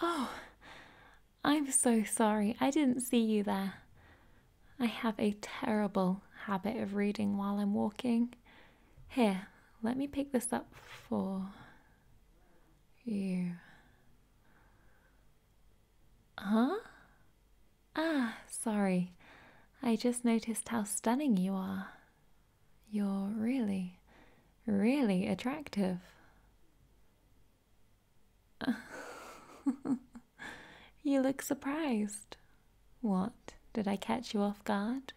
Oh, I'm so sorry. I didn't see you there. I have a terrible habit of reading while I'm walking. Here, let me pick this up for you. Huh? Ah, sorry. I just noticed how stunning you are. You're really, really attractive. you look surprised. What? Did I catch you off guard?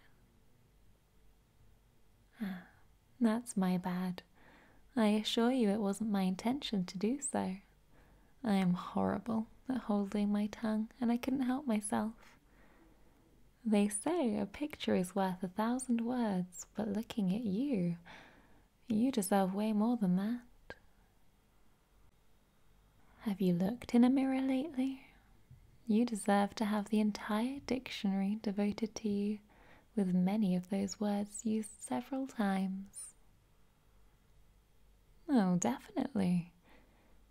Ah, that's my bad. I assure you it wasn't my intention to do so. I am horrible at holding my tongue, and I couldn't help myself. They say a picture is worth a thousand words, but looking at you, you deserve way more than that. Have you looked in a mirror lately? You deserve to have the entire dictionary devoted to you with many of those words used several times. Oh, definitely.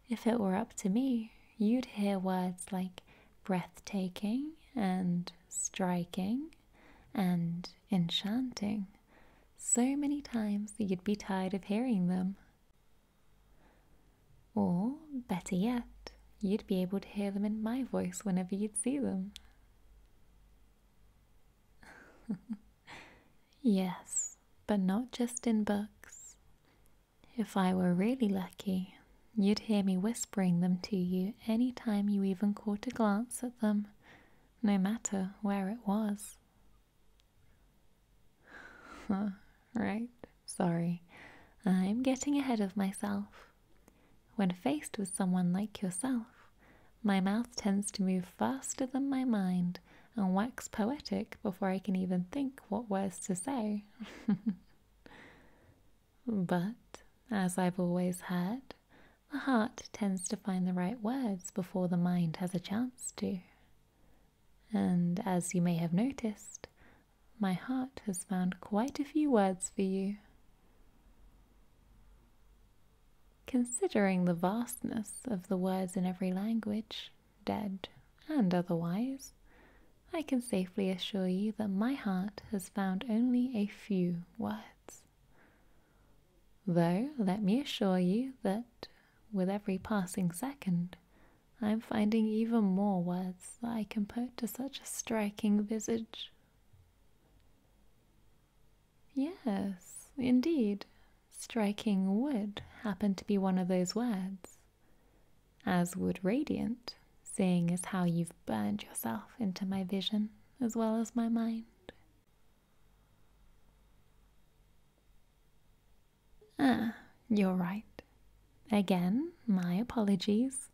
If it were up to me, you'd hear words like breathtaking and striking and enchanting so many times that you'd be tired of hearing them. Or, better yet, you'd be able to hear them in my voice whenever you'd see them. yes, but not just in books. If I were really lucky, you'd hear me whispering them to you any time you even caught a glance at them, no matter where it was. right, sorry. I'm getting ahead of myself. When faced with someone like yourself, my mouth tends to move faster than my mind and wax poetic before I can even think what words to say. but, as I've always heard, the heart tends to find the right words before the mind has a chance to. And as you may have noticed, my heart has found quite a few words for you. Considering the vastness of the words in every language, dead and otherwise, I can safely assure you that my heart has found only a few words. Though, let me assure you that with every passing second, I am finding even more words that I can put to such a striking visage. Yes, indeed, striking would happen to be one of those words, as would radiant, seeing as how you've burned yourself into my vision as well as my mind. Ah, you're right. Again, my apologies.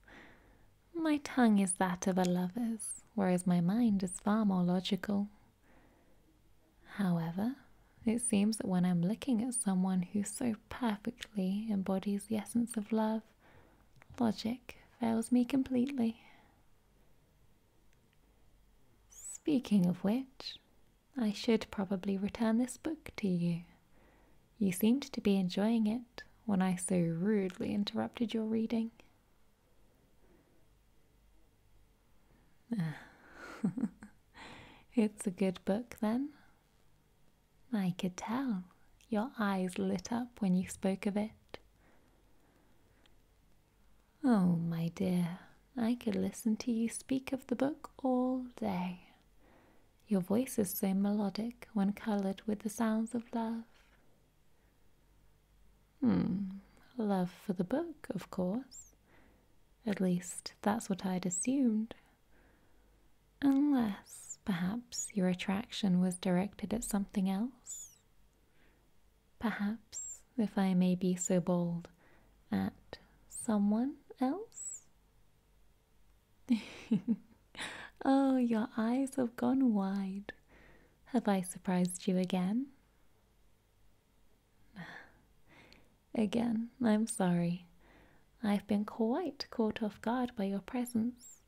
My tongue is that of a lover's, whereas my mind is far more logical. However, it seems that when I'm looking at someone who so perfectly embodies the essence of love, logic fails me completely. Speaking of which, I should probably return this book to you. You seemed to be enjoying it when I so rudely interrupted your reading. it's a good book, then. I could tell. Your eyes lit up when you spoke of it. Oh, my dear, I could listen to you speak of the book all day. Your voice is so melodic when coloured with the sounds of love. Hmm, love for the book, of course. At least that's what I'd assumed. Unless, perhaps, your attraction was directed at something else. Perhaps, if I may be so bold, at someone else? oh, your eyes have gone wide. Have I surprised you again? Again, I'm sorry. I've been quite caught off guard by your presence.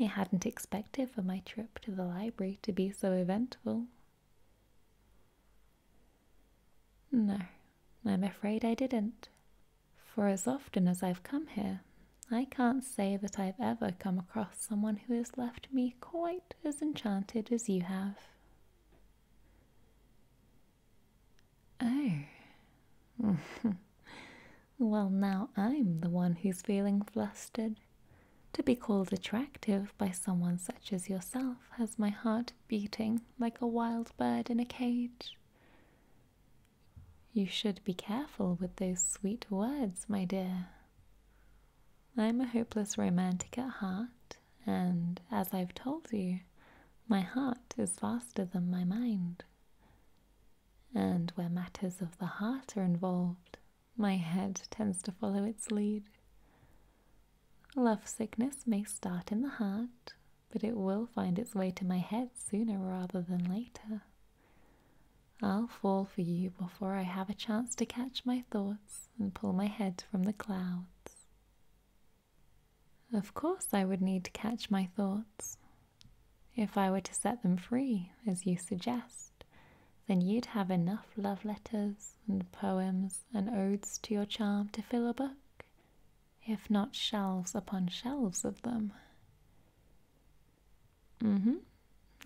I hadn't expected for my trip to the library to be so eventful. No, I'm afraid I didn't. For as often as I've come here, I can't say that I've ever come across someone who has left me quite as enchanted as you have. Oh. well, now I'm the one who's feeling flustered. To be called attractive by someone such as yourself has my heart beating like a wild bird in a cage. You should be careful with those sweet words, my dear. I'm a hopeless romantic at heart, and as I've told you, my heart is faster than my mind. And where matters of the heart are involved, my head tends to follow its lead. Love sickness may start in the heart, but it will find its way to my head sooner rather than later. I'll fall for you before I have a chance to catch my thoughts and pull my head from the clouds. Of course, I would need to catch my thoughts. If I were to set them free, as you suggest, then you'd have enough love letters and poems and odes to your charm to fill a book, if not shelves upon shelves of them. Mm hmm.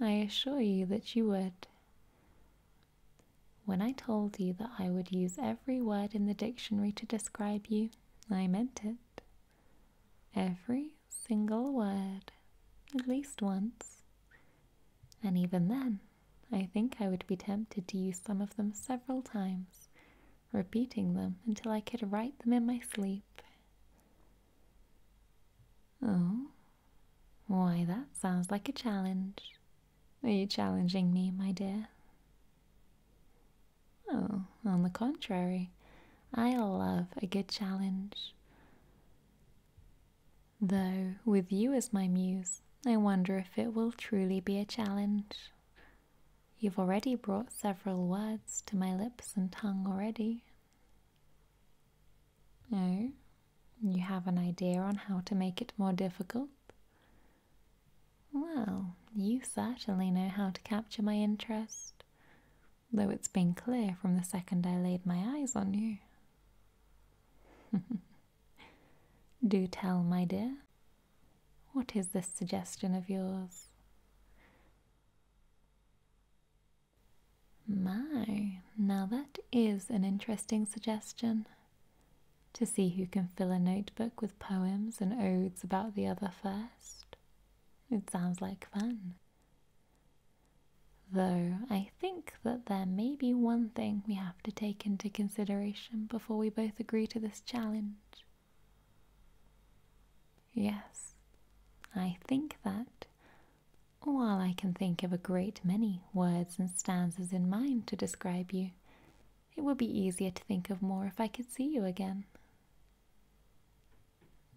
I assure you that you would. When I told you that I would use every word in the dictionary to describe you, I meant it. Every single word, at least once. And even then, I think I would be tempted to use some of them several times repeating them until I could write them in my sleep. Oh, why, that sounds like a challenge. Are you challenging me, my dear? Oh, on the contrary, I love a good challenge. Though, with you as my muse, I wonder if it will truly be a challenge. You've already brought several words to my lips and tongue already. No, you have an idea on how to make it more difficult? Well, you certainly know how to capture my interest, though it's been clear from the second I laid my eyes on you. Do tell, my dear, what is this suggestion of yours? My, now that is an interesting suggestion. To see who can fill a notebook with poems and odes about the other first. It sounds like fun. Though I think that there may be one thing we have to take into consideration before we both agree to this challenge. Yes, I think that, while I can think of a great many words and stanzas in mind to describe you, it would be easier to think of more if I could see you again.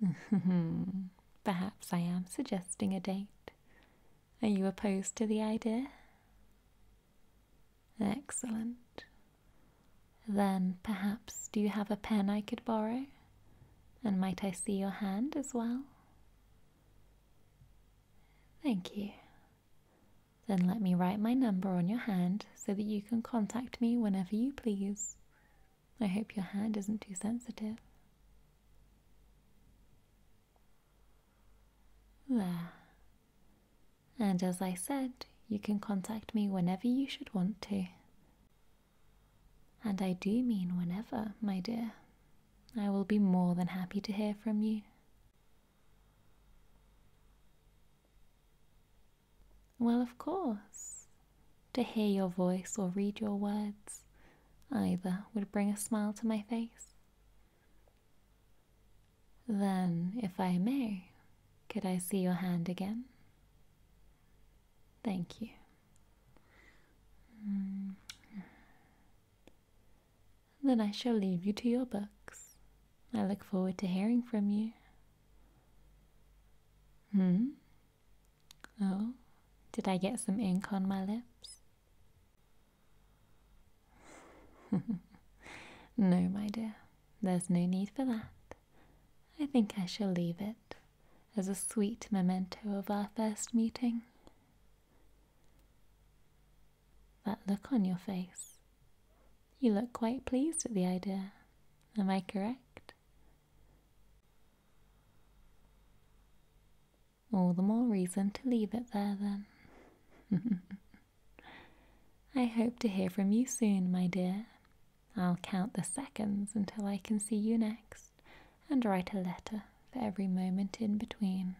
Perhaps I am suggesting a date. Are you opposed to the idea? Excellent. Then perhaps do you have a pen I could borrow? And might I see your hand as well? Thank you. Then let me write my number on your hand so that you can contact me whenever you please. I hope your hand isn't too sensitive. There. And as I said, you can contact me whenever you should want to. And I do mean whenever, my dear. I will be more than happy to hear from you. Well, of course. To hear your voice or read your words, either would bring a smile to my face. Then, if I may, could I see your hand again? Thank you. Mm. Then I shall leave you to your books. I look forward to hearing from you. Hmm? Oh, did I get some ink on my lips? no, my dear, there's no need for that. I think I shall leave it as a sweet memento of our first meeting. That look on your face. You look quite pleased at the idea. Am I correct? All the more reason to leave it there then. I hope to hear from you soon, my dear. I'll count the seconds until I can see you next and write a letter for every moment in between.